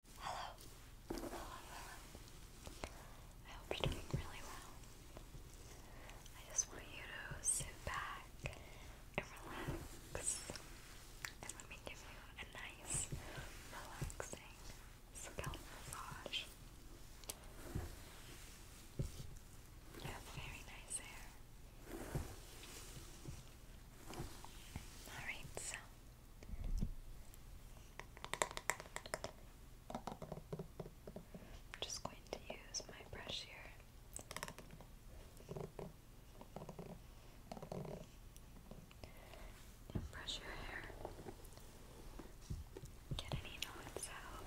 Hello. Hello, hello. I hope you're doing really well. I just want you to sit back and relax. And let me give you a nice, relaxing scalp massage. You very nice hair. Alright, so I'm just going to use my brush here. brush your hair. Get any knots out.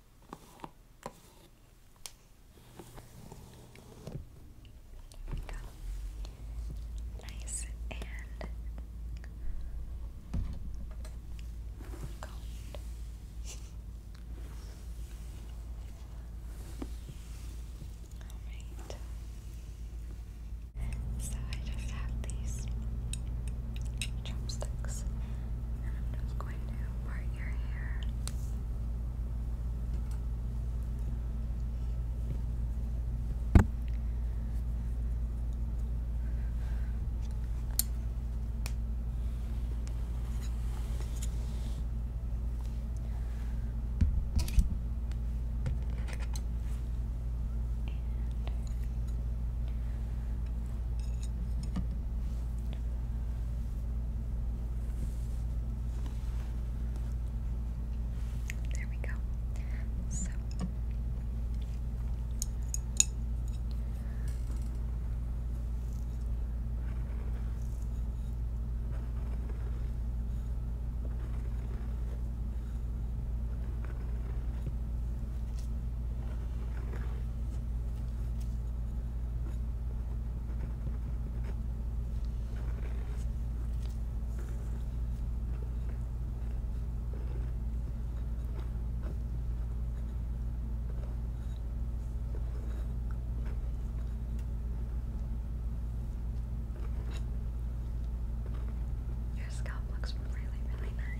There we go. Nice and cold. Alright. So I just have these chopsticks. I'm just going to part your hair. There we go. So your scalp looks really, really nice.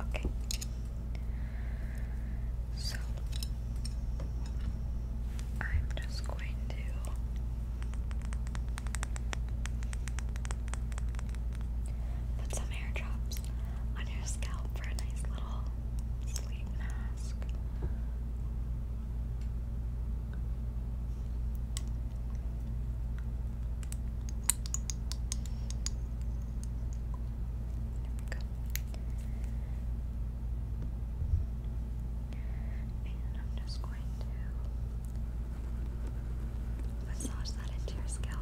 Okay. So I'm just going to put some hair drops on your scalp for a nice little sleep mask we go. And I'm just going to massage that into your scalp.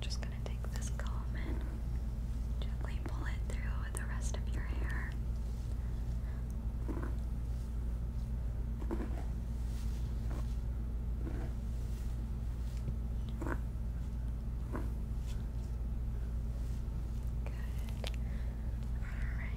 Just going to take this comb and gently pull it through the rest of your hair. Good. All right. Good. All right.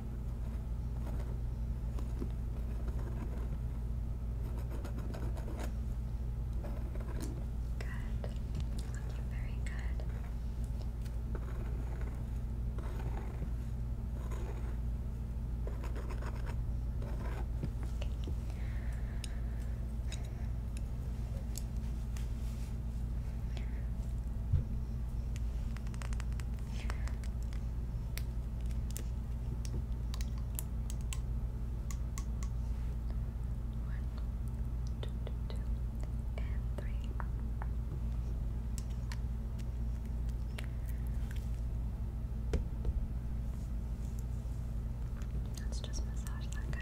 Good. Looking very good. Okay. One, two, two, two, and let Let's just massage that guy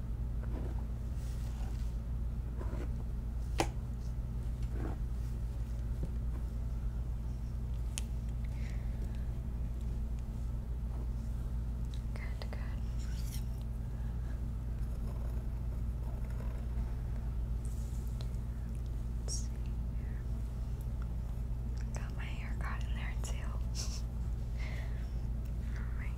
Good, good. Got my hair caught in there too. Alright.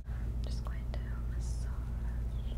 I'm just going to massage that in.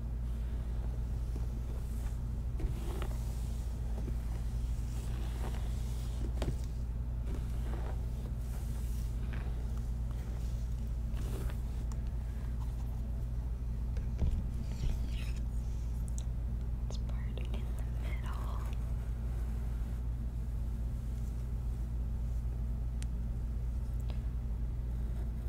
This part in the middle.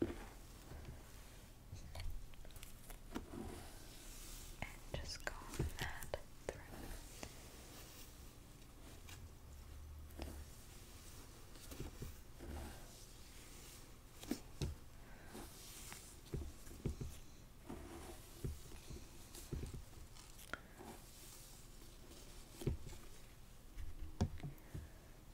And just go that through.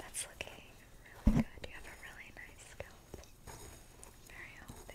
That's looking really good. You have a really nice scalp. Very healthy.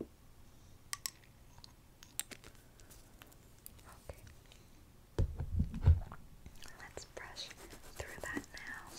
Okay. Let's brush through that now.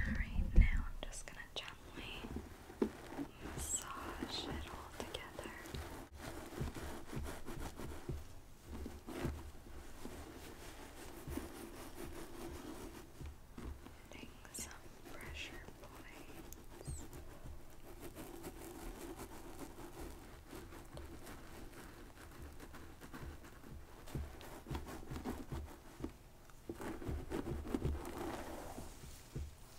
Alright, now I'm just going to gently massage it all together. Putting some pressure points. Good.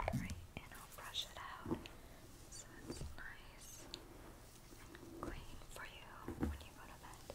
Alright, and I'll brush it out so it's nice and clean for you when you go to bed.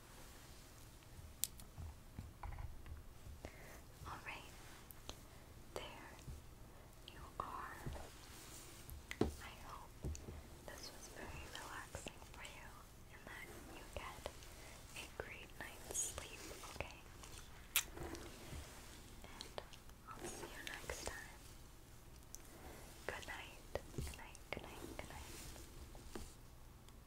Alright, there you are. I hope this was very relaxing for you and that you get a great night's sleep, okay? And I'll see you next time. Good night, good night, good night, good night.